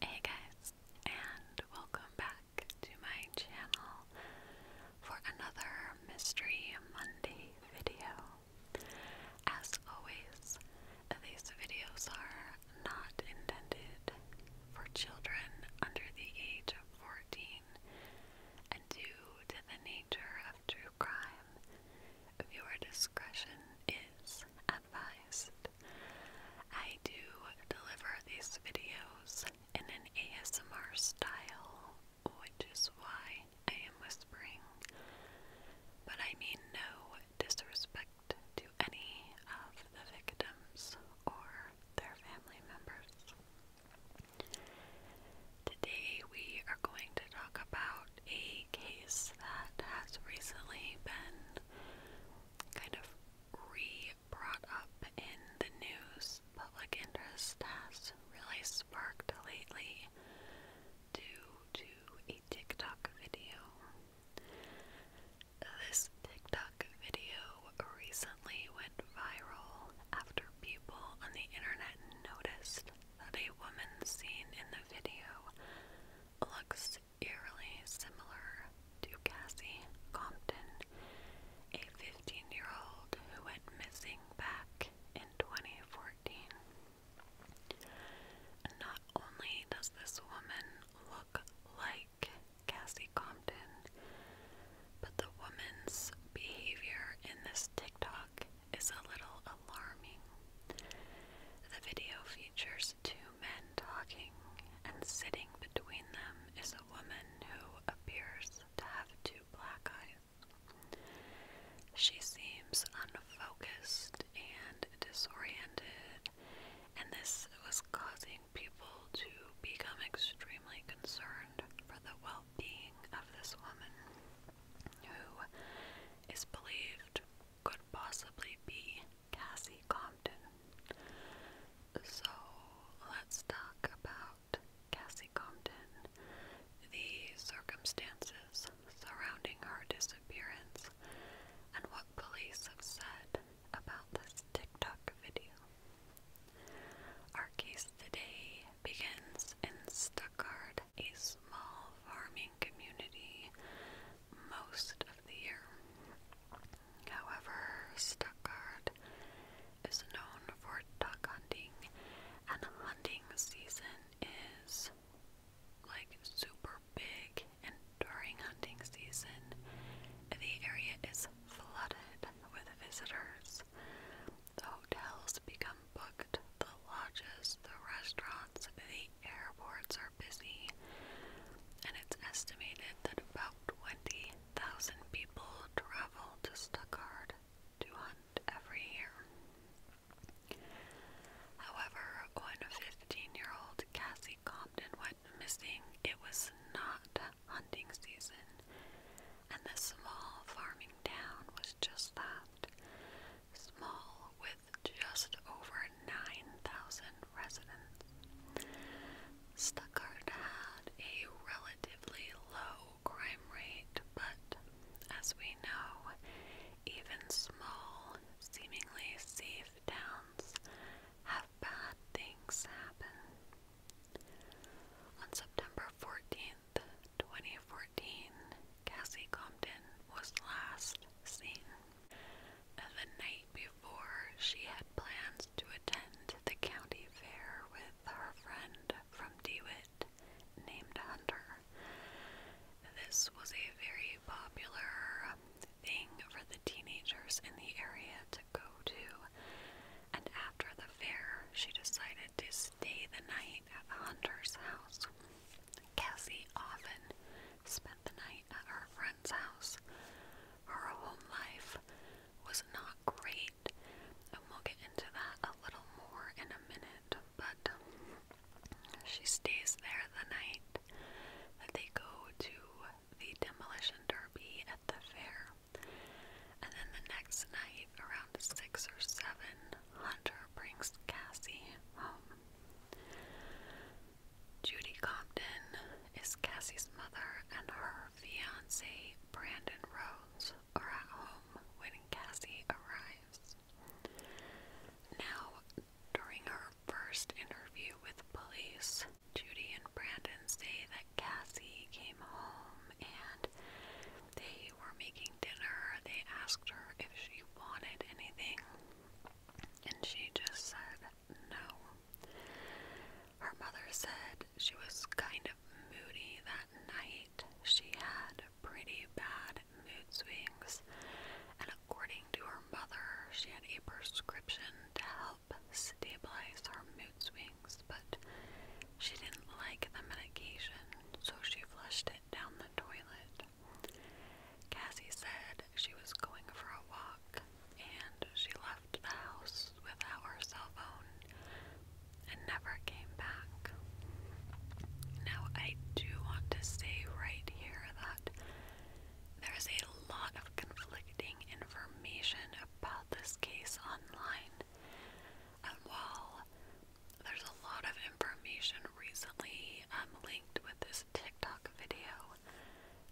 Hey guys, and welcome back to my channel for another Mystery Monday video. As always, these videos are not intended for children under the age of 14, and due to the nature of true crime, viewer discretion is advised. I do deliver these videos in an ASMR style, which is why I am whispering. But I mean no disrespect to any of the victims or their family members. Today we are going to talk about a a case that has recently been kind of re brought up in the news. Public interest has really sparked lately due to a TikTok video. This TikTok video recently went viral after people on the internet noticed that a woman seen in the video looks eerily similar to Cassie Compton, a 15 year old who went missing back in 2014. Not only does this woman look like Cassie Compton, but the woman's behavior in this TikTok is a little alarming. The video two men talking, and sitting between them is a woman who appears to have two black eyes. She seems unfocused and disoriented, and this was causing people to become extremely concerned for the well being of this woman, who is believed could possibly be Cassie Compton. So let's talk about Cassie Compton, the circumstances surrounding her disappearance, and what police have said about this TikTok video. Our case today begins in Stuttgart, a small farming community most of the year. However, Stuttgart is known for duck hunting, and the hunting season is like super big. And during hunting season, the area is flooded with visitors. The hotels become booked, the lodges, the restaurants, the airports are busy, and it's estimated that about 20,000 people travel to Stuttgart to hunt every year. However, when 15 year old Cassie Compton went missing, it was not hunting season, and the small farming town was just that small with with just over 9,000 residents. Stuckard had a relatively low crime rate, but as we know, even small, seemingly safe towns have bad things happen. On September 14th, Cassie Compton was last seen. The night before, she had plans to attend the county fair with her friend from DeWitt named Hunter. This was a very popular thing for the teenagers in the area to go to, and after the fair, she decided to stay the night at Hunter's house. Cassie often spent the night at her friend's house. Her home life was not great, and we'll get into that a little more in a minute, but she stays there the night they go to the demolition derby at the fair. And then the next night, around 6 or 7, Hunter brings Cassie home. Judy Compton is Cassie's mother, and her fiance, Brandon Rhodes, are at home when Cassie arrives. Now, during her first interview with police, Judy and Brandon say that Cassie came home and they were making dinner. They asked her if she wanted anything, and she just said no. Her mother said she was kind of moody that night. She had pretty bad mood swings, and according to her mother, she had a prescription to help stabilize her mood swings, but she didn't like the medication, so she flushed it down the toilet. Cassie said she was going for a walk and she left the house without her cell phone and never came back. Now, I do want to say right here that there's a lot of conflicting information about this case online. And uh, while there's a lot of information recently um, linked with this TikTok video.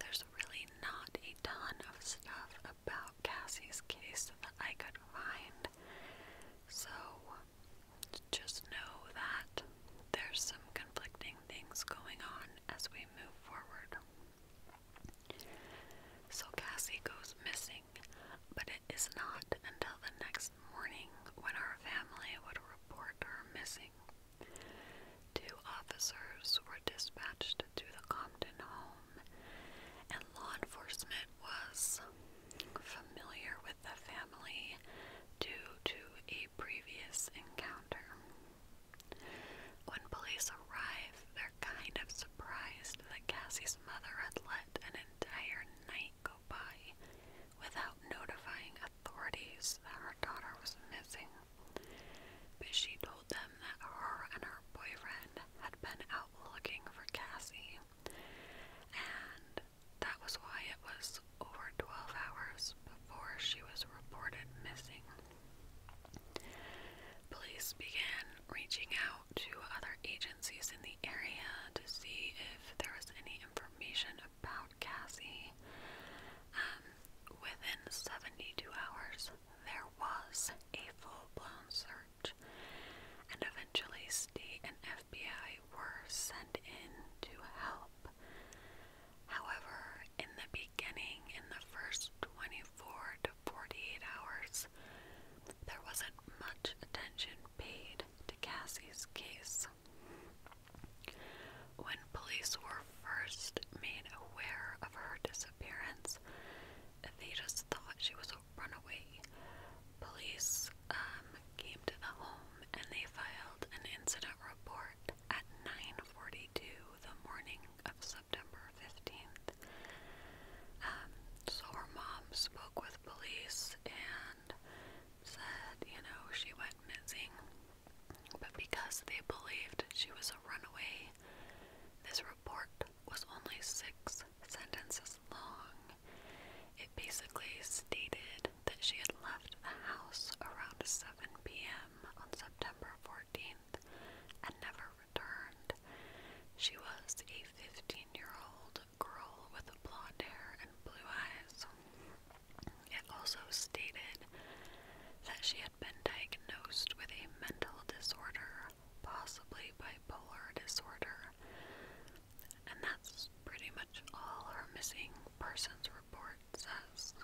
There's really not a ton of stuff about Cassie's case that I could find. So just know that there's some conflicting things going on as we move forward. So Cassie goes missing, but it is not until the next next morning when our family would report her missing. Two officers were dispatched to the Compton home, and law enforcement was familiar with the family due to a previous encounter. When police arrived, they're kind of surprised that Cassie's mother had let an entire night go by without notifying authorities that her daughter was missing, but she told them that her and her boyfriend had been out looking for Cassie, and that was why it was over 12 hours before she was reported missing. Police began reaching out to other agencies in the area to see if there was any information about Cassie. Um, within 72 hours, there was a full blown search, and eventually, state and FBI were sent in to help. However, in the beginning, in the first 24 to 48 hours, there wasn't much attention paid to Cassie's case. When police were first made aware of her disappearance, they just thought she was a runaway. Police um, came to the home and they filed an incident report at 9:42 the morning of September 15th. Um, so her mom spoke with police and said, you know, she went missing. But because they believed she was a runaway, this report was only six sentences long. It basically stated that she had left the house around 7 p.m. on September 14th and never returned. She was a 15 year old girl with blonde hair and blue eyes. It also stated that she had been diagnosed with a mental disorder, possibly bipolar disorder, and that's pretty much all her missing persons report says.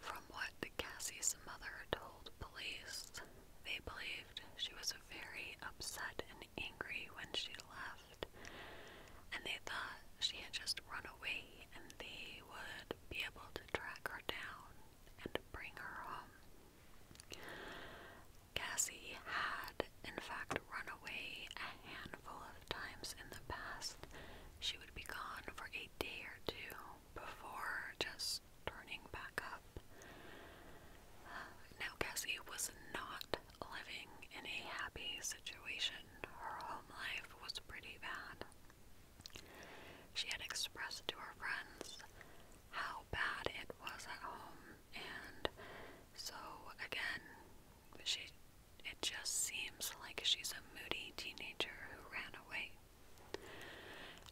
From what Cassie's mother told police, they believed she was very upset and angry when she left, and they thought she had just run away and they would be able to track her down and bring her home. Cassie had, in fact, run away a handful of times in the past. She would be gone for a day or two before just turning back up. Uh, now, Cassie was not living in a happy situation. Her home life was pretty bad. She had expressed to her friends how bad it was at home, and so again, she it just seems like she's a moody teenager who ran away.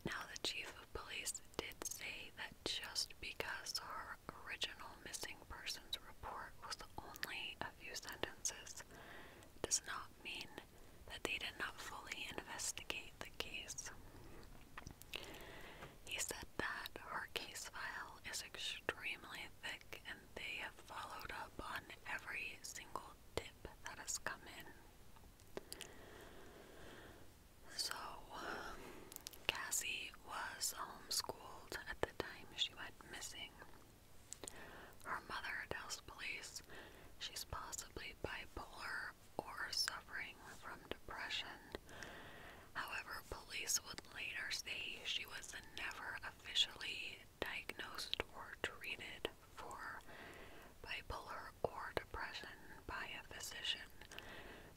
Now, the chief of police did say that just because her original missing persons report was only a few sentences does not mean that they did not fully investigate the case. He said that her case file is extremely thick and they have followed up on every single tip that has come in. So, Cassie was homeschooled at the time she went missing. Her mother tells police she's possibly bipolar or suffering from depression. However, police would later say she was never officially diagnosed or treated for bipolar or depression by a physician.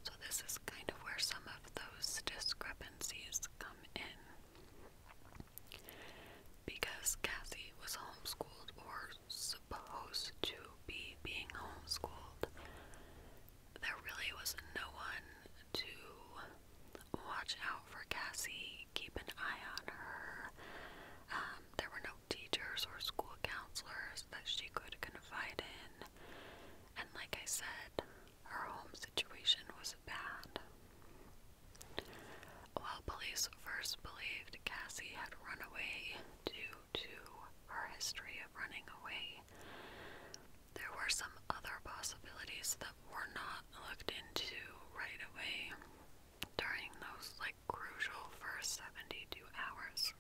So, this is kind of where some of those discrepancies come in. Because Cassie was homeschooled or supposed to be being homeschooled, there really was no one to watch out for Cassie, keep an eye on her. Um, there were no teachers or school counselors that she could confide in. And like I said, her home situation was bad. While police first believed Cassie had run away due to her history of running away, there were some other possibilities that were not looked into right away during those like crucial first 72 hours.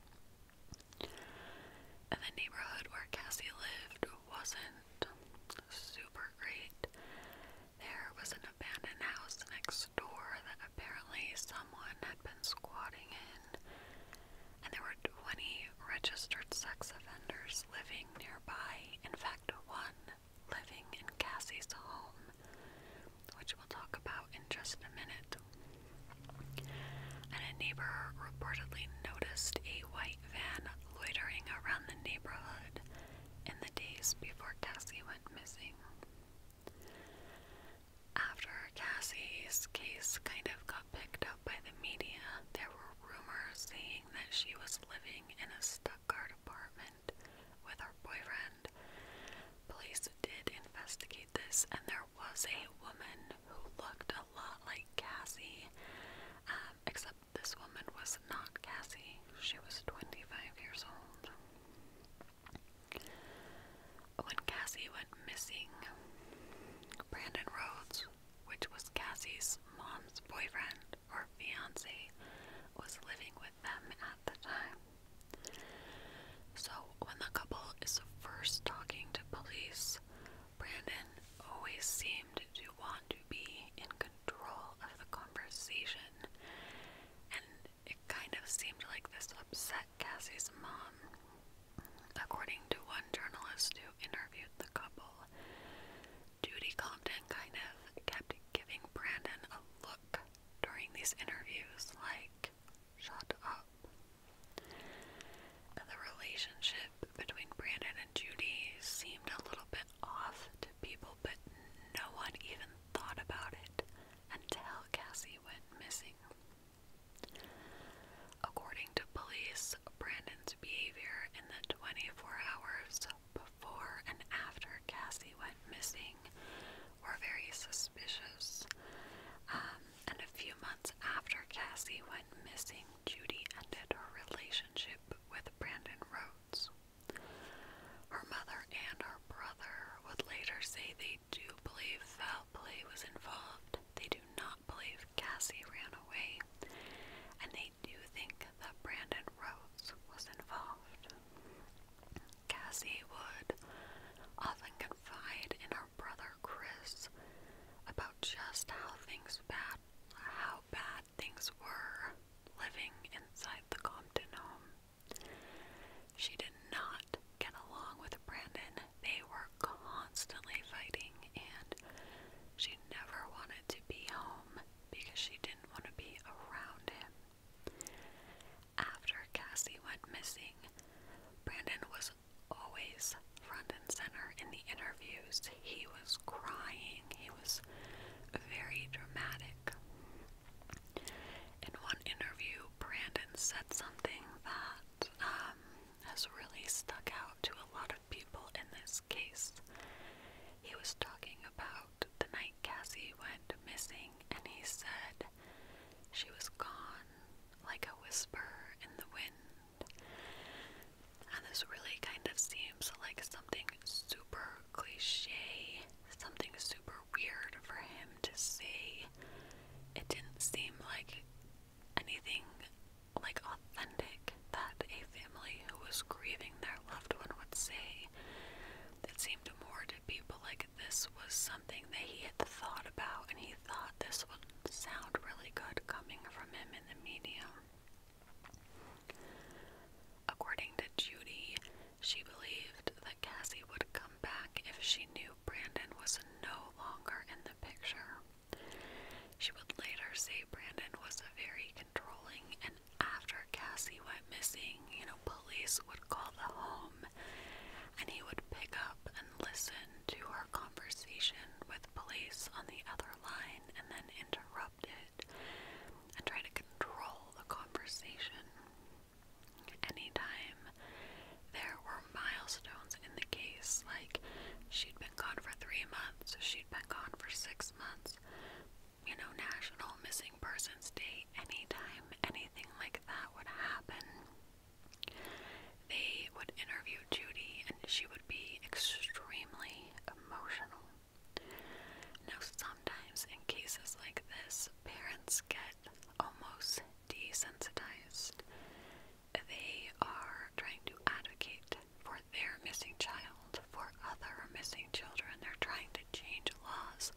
And the neighborhood where Cassie lived wasn't weren't super great. There was an abandoned house next door that apparently someone had been squatting in, and there were 20 registered sex offenders living nearby. In fact, one living in Cassie's home, which we'll talk about in just a minute. And a neighbor reportedly noticed a white white van loitering around the neighborhood in the days before Cassie went missing. After Cassie's case kind of got picked up by the media, there were rumors saying that she was living in a Stuttgart apartment with her boyfriend. Police did investigate this, and there was a woman who looked a a lot like Cassie, um, except this woman was not Cassie. She was 25 years old. When Cassie went missing, Brandon Rhodes, which was Cassie's mom's boyfriend or fiance, was living with them at the time. So when the couple is first talking to police, Brandon always seemed to want to be in control of the conversation, and it kind of seemed like this upset Cassie's mom. According to one journalist who interviewed the couple, Judy Compton kind of kept giving Brandon a look during these interviews like, shut up, and the relationship between Brandon and Judy seemed a little bit off to people, but no one even thought about it until Cassie went missing. According to police, Brandon's behavior in the 24 hours before and after Cassie went missing were very suspicious. Um, and a few months after Cassie went missing, Judy ended her relationship with Brandon Rhodes. Her mother and her brother would later say they do believe foul play was involved. They do not believe Cassie ran away, and they do think that Brandon Rhodes was involved. Cassie would often confide in her brother Chris about just how things bad how bad things were living inside the Compton home. She did not get along with Brandon. They were constantly fighting and she never wanted to be home because she didn't want to be around him. After Cassie went missing, Brandon was always front and center in the interviews. He was crying, he was very dramatic. In one interview, Brandon said something that um, has really stuck out to a lot of people in this case. He was talking about the night Cassie went missing, and he said she was gone like a whisper in the wind. And this really kind of seems like something super cliche, something super weird for him to say. It didn't seem like anything like authentic that a family who was grieving their loved one would say. It seemed more to people like this was something that he had thought about and he thought this would sound really good coming from him in the media. According to Judy, she believed that Cassie would come back if she knew Brandon was no longer in the picture. She would later say Brandon was very controlling, and after Cassie went missing, you know, police would call the home and he would pick up listen to her conversation with police on the other line and then interrupt it and try to control the conversation. Anytime there were milestones in the case, like she'd been gone for three months, she'd been gone for six months, you know, National Missing Persons Day, anytime anything like that would happen, they would interview Judy, and she would be extremely emotional. Now, sometimes in cases like this, parents get almost desensitized. They are trying to advocate for their missing child, for other missing children. They're trying to change laws.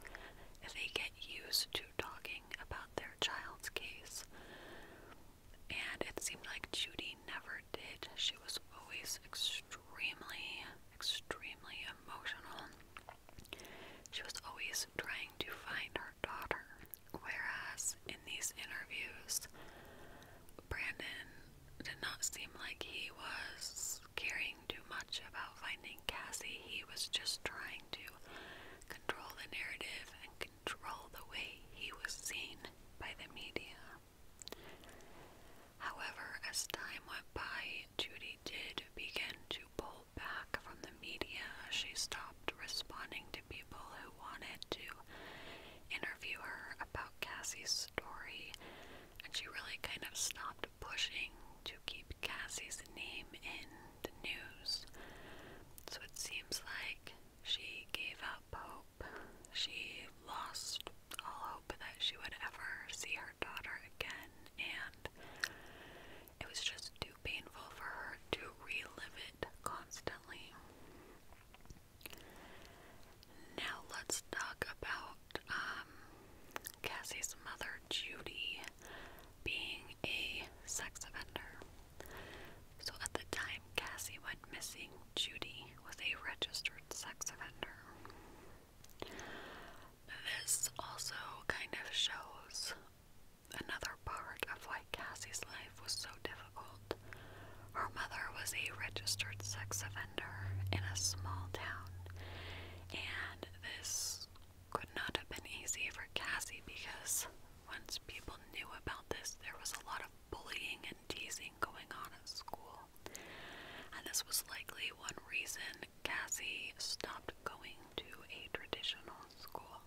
They get used to talking about their child's case and it seemed like Judy never did. She was always extremely, extremely emotional. She was always trying to find her daughter, whereas in these interviews, Brandon did not seem like he was caring too much about finding Cassie. He was just trying to control the narrative and control the way he was seen by the media. However, as time went by, Judy did begin to pull back from the media. She stopped responding to people who wanted to interview her about Cassie's story, and she really kind of stopped pushing to keep Cassie's name in the news. So it seems like she gave up hope. She lost all hope that she would ever see her daughter again, and it was just too painful for her to relive it constantly. Now, let's talk about um, Cassie's mother, Judy, being a sex offender. So at the time Cassie went missing, Judy was a registered sex offender. This also kind of shows another part of why Cassie's life was so difficult. Her mother was a registered sex offender in a small town, and this could not have been easy for Cassie because once people knew about this, there was a lot of bullying and teasing going on at school, and this was likely one reason Cassie stopped going to a traditional school.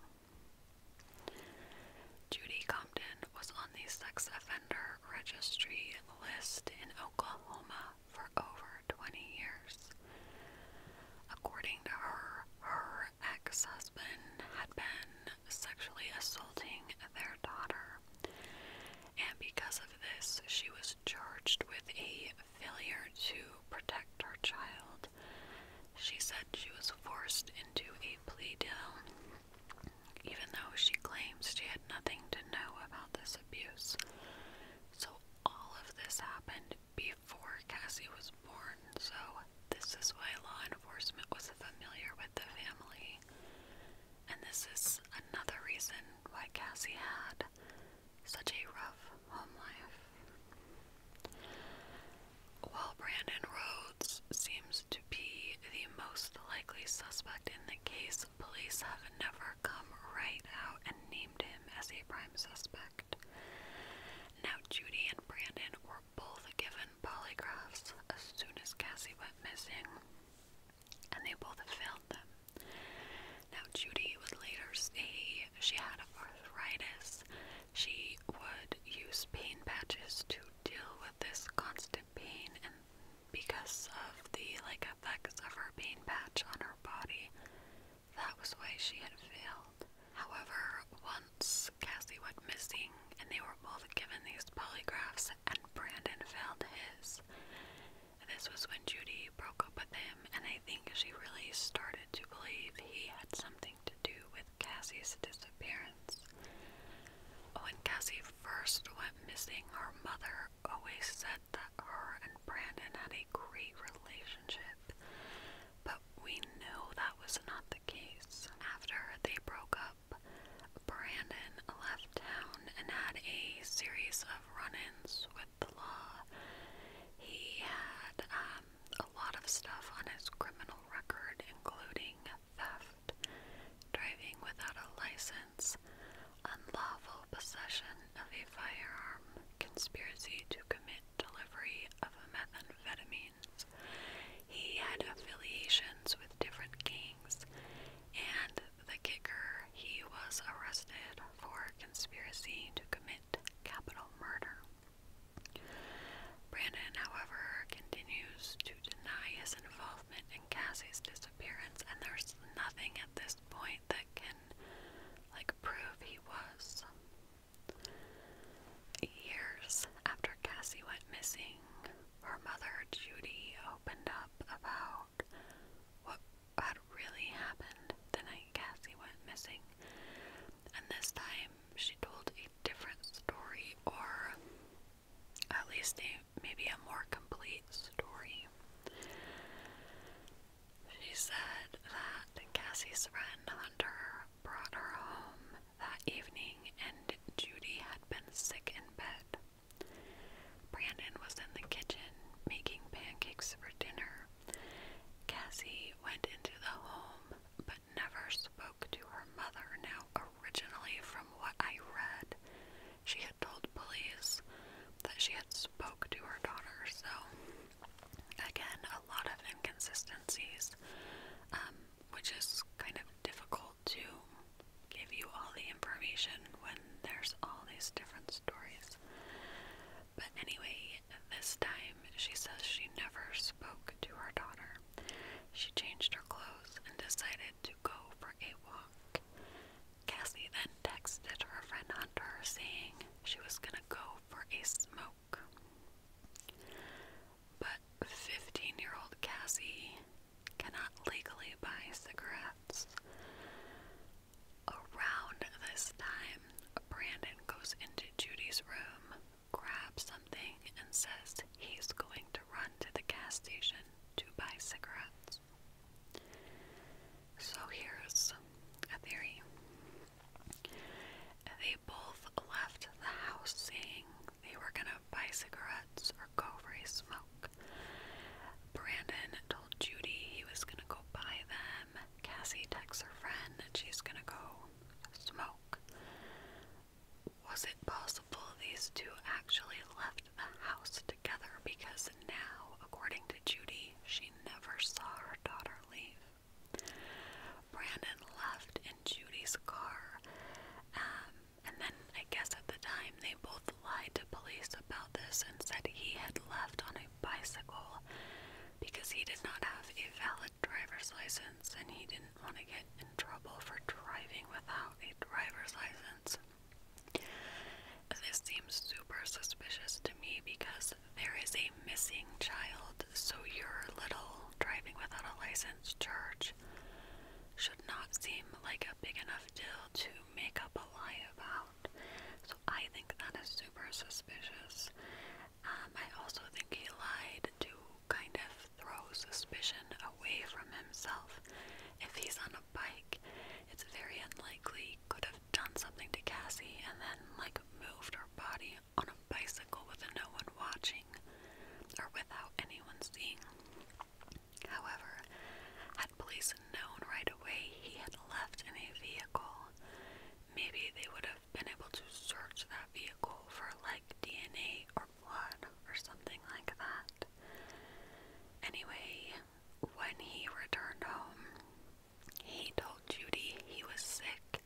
Judy Compton was on the sex offender registry list in Oklahoma for over 20 years. According to her, her ex husband had been sexually assaulting their daughter. And because of this, she was charged with a failure to protect her child. She said she was forced into a plea deal, even though she claims she had nothing to know about this abuse. So, all of this happened before Cassie was was born, so this is why law enforcement was familiar with the family. And this is another reason why Cassie had such a rough home life. While Brandon Rhodes seems to be the most likely suspect in the case, police have never come right out and named him as a prime suspect. Now, Judy and Brandon were both given polygraphs as soon as Cassie went missing, and they both failed them. Now, Judy would later say she had arthritis. She would use pain patches to deal with this constant pain, and because of the like effects of her pain patch on her body, that was why she had failed. However, once Cassie went missing and they were both given these polygraphs and Brandon failed his. This was when Judy broke up with him and I think she really started to believe he had something to do with Cassie's disappearance. When Cassie first went missing, her mother always said that her and Brandon had a great relationship but we know that was not the case. After they broke up, Brandon left town and had a series of run ins with the law. He had um, a lot of stuff on his criminal record, including theft, driving without a license, unlawful possession of a firearm, conspiracy to commit delivery of a methamphetamine. He had affiliations with different kings, and the kicker, he was arrested for conspiracy to commit capital murder. Brandon, however, continues to deny his involvement in Cassie's disappearance, and there's nothing at this point that can, like, prove he was. Years after Cassie went missing, her mother Judy opened up about what had really happened the night Cassie went missing. And this time she told a different story, or at least a, maybe a more complete story. She said that Cassie's friend Hunter brought her home that evening, and Judy had been sick in bed. Brandon was in the kitchen making pancakes for dinner. Cassie went into the home but never spoke to her mother. Now, originally, from what I read, she had told police that she had spoke to her daughter. So, again, a lot of inconsistencies. Um, which is kind of difficult to give you all the information when there's all these different stories. But anyway, this time she says she never spoke to her daughter. She changed her clothes and decided to go for a walk. Cassie then texted her friend Hunter saying she was gonna go for a smoke. But 15 year old Cassie cannot legally buy cigarettes. Around this time, Brandon goes into Judy's room, grabs something, and says he's going to run to the gas station to buy cigarettes. So here's a theory they both left the house saying they were gonna buy cigarettes or go for a smoke. Brandon told Judy he was gonna go buy them. Cassie texts her friend that she's gonna go smoke. Was it possible these two actually left the house together because now, according to Judy, she never saw her daughter leave? Brandon left in Judy's car. Um, and then I guess at the time they both lied to police about this and said he had left on a bicycle because he did not have a valid driver's license and he didn't want to get in trouble for driving without a driver's license. This seems super suspicious to me because there is a missing child world, so your little driving without a license charge should not seem like a big enough deal to make up a lie about. So I think that is super suspicious. Um, I also think he lied to kind of throw suspicion away from himself. If he's on a bike, it's very unlikely he could have done something to Cassie and then like moved her body on a bicycle with no one watching or without anyone seeing. However, had police known right away he had left in a vehicle, maybe they would have been able to search that vehicle for like DNA or blood or something like that. Anyway, when he returned home, he told Judy he was sick,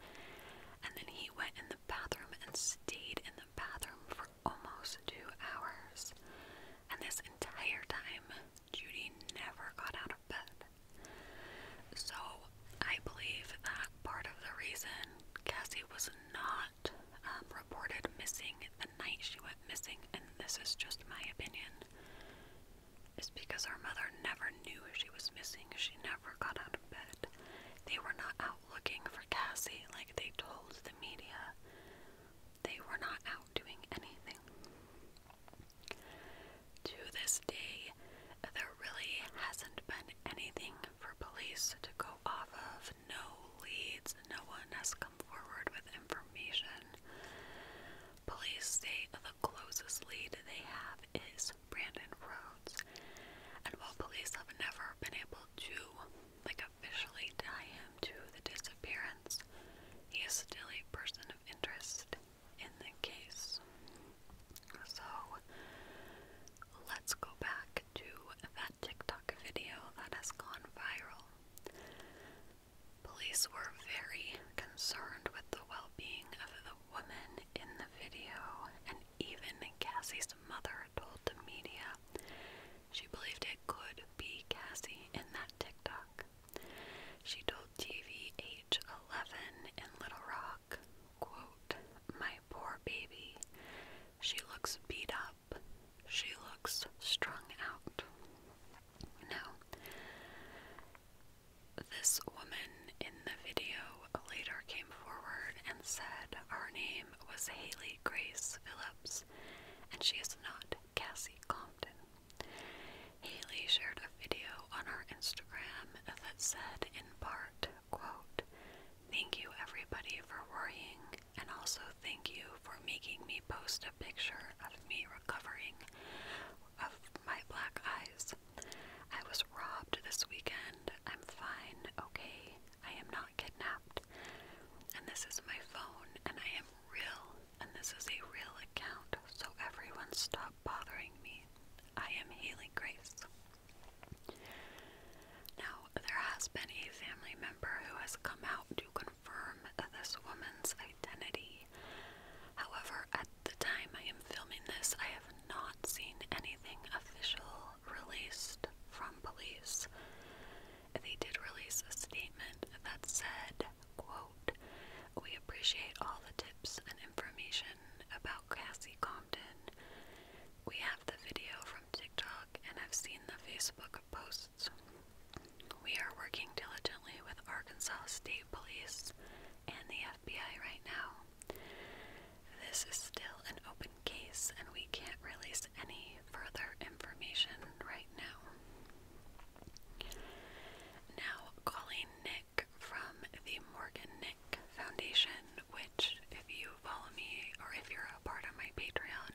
and then he went in the bathroom and stayed in the bathroom for almost two hours. And this entire time, Judy never got out of bed. So I believe that part of the reason Cassie was not um, reported missing the night she went missing, and this is just my opinion, is because her mother never knew she was missing. She never got out of but they were not out looking for Cassie like they told the media. They were not out doing anything. To this day, there really hasn't been anything for police to go off of. No leads, no one has come forward with information. Police say the closest lead they have is Brandon Rhodes. And while police have never been able to, like, officially tie him to the disappearance, he is still a person of interest in the case. So, let's go back to that TikTok video that has gone viral. Police were very concerned with the well being of the woman in the video, and even Cassie's mother told the media she believed it could be Cassie in that TikTok. She told TVH11 in Little Rock, quote, My poor baby. She looks beat up. She looks strung out. No. This woman in the video later came forward and said her name was Haley Grace Phillips and she is not Cassie Compton. Haley shared a video on her Instagram that said, in part, quote, Thank you everybody for worrying, and also thank you for making me post a picture of me recovering of my black eyes. I was robbed this weekend. I'm fine, okay? I am not kidnapped. And this is my phone, and I am real, and this is a real account, so everyone stop bothering me. I am Haley Grace. Now, there has been a family member who has come out to confirm this woman's identity. However, at the time I am filming this, I have not seen anything official released from police. They did release a statement that said, quote, We appreciate all the tips and information about Cassie Compton. We have the video from TikTok and have seen the Facebook posts. We are working diligently with Arkansas State Police and the FBI right now. This is still an open case, and we can't release any further information right now. Now, calling Nick from the Morgan Nick Foundation, which, if you follow me or if you're a part of my Patreon,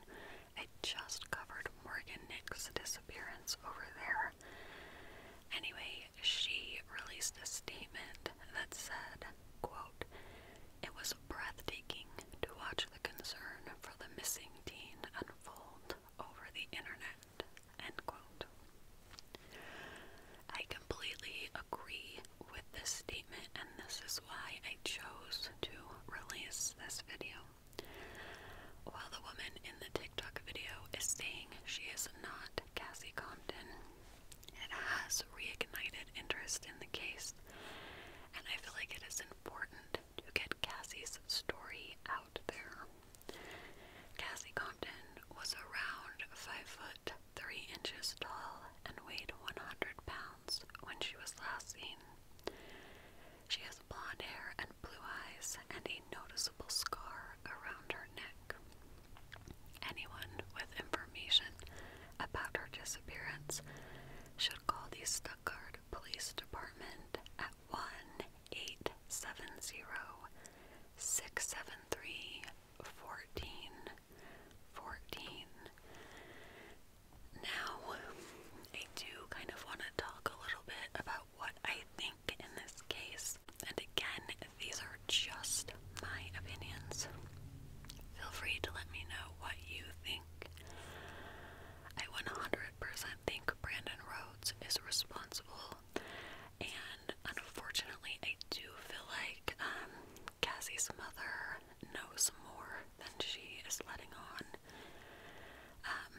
I just covered Morgan Nick's disappearance over there. Anyway, she released a statement that said, quote, It was breathtaking to watch the concern for the missing teen unfold over the internet, end quote. I completely agree with this statement, and this is why I chose to release this video. While the woman in the TikTok video is saying she is not Cassie Compton, it has reignited interest in the case, and I feel like it is important to get Cassie's story out there. Cassie Compton was around 5 foot 3 inches tall and weighed 100 pounds when she was last seen. She has blonde hair and blue eyes and a noticeable scar around her neck. Anyone with information about her disappearance should call the Stuttgart Police Department at 1 673 1414. Now, I do kind of want to talk a little bit about what I think in this case and again, these are just my opinions. Feel free to let me know what you think. I 100% think Brandon Rhodes is responsible, and unfortunately, I do feel like um, Cassie's mother knows more than she is letting on. Um,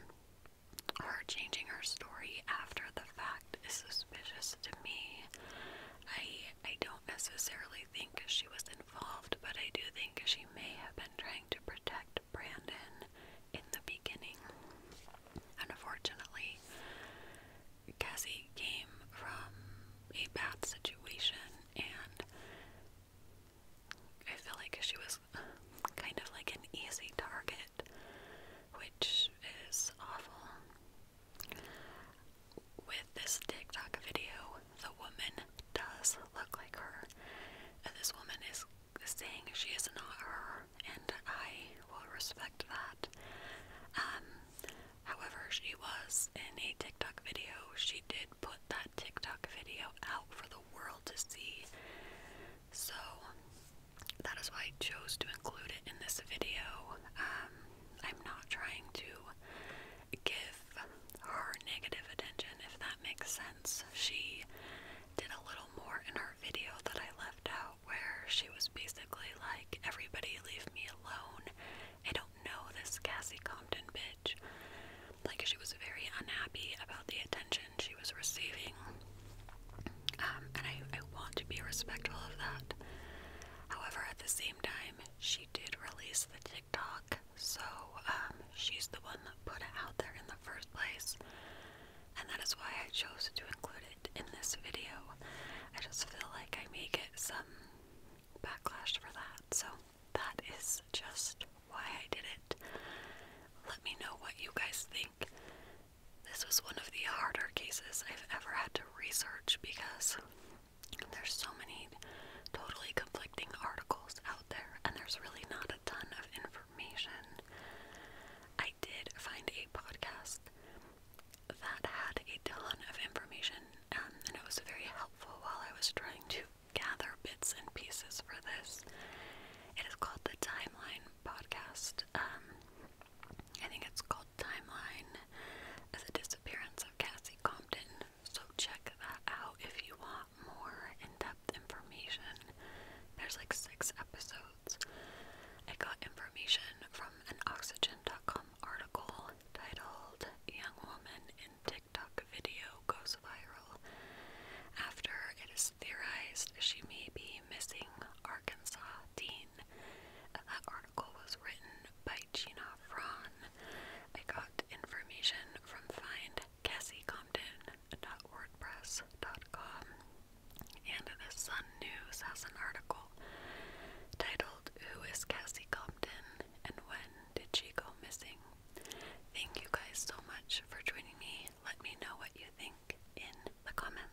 her changing her story after the fact is suspicious to me. I I don't necessarily think she was involved, but I do think she may have been trying to protect Brandon in the beginning. Unfortunately, Cassie came from a bad situation and I feel like she was kind of like an easy target, which is awful. With this TikTok video, the woman does look like her. And this woman is saying she is not her, and I will respect that. Um, however, she was in a TikTok video. She did put that TikTok video out for the world to see. So that is why I chose to include it in this video. Um, I'm not trying to give her negative attention, if that makes sense. She did a little more in her video that I left out, where she was basically like, Everybody leave me alone. I don't know this Cassie Compton bitch. Like, she was very unhappy about the attention she was receiving um, and I, I want to be respectful of that. However, at the same time, she did release the TikTok, so um, she's the one that put it out there in the first place. And that is why I chose to include it in this video. I just feel like I may get some backlash for that, so that is just why I did it. Let me know what you guys think this was one of the harder cases I've ever had to research because there's so many totally conflicting articles out there, and there's really not a ton of information. I did find a podcast that had a ton of information, um, and it was very helpful while I was trying to gather bits and pieces for this. It is called the Timeline Podcast. Um, I think it's called timeline the disappearance of Cassie Compton, so check that out if you want more in depth information. There's like six episodes. I got information from an Oxygen.com article titled Young Woman in TikTok Video Goes Viral. After it is theorized she may be missing Arkansas teen that article was written by Gina Fron. I got information from findcassiecomden.wordpress.com. And the Sun News has an article titled Who is Cassie Compton and When Did She Go Missing? Thank you guys so much for joining me. Let me know what you think in the comments.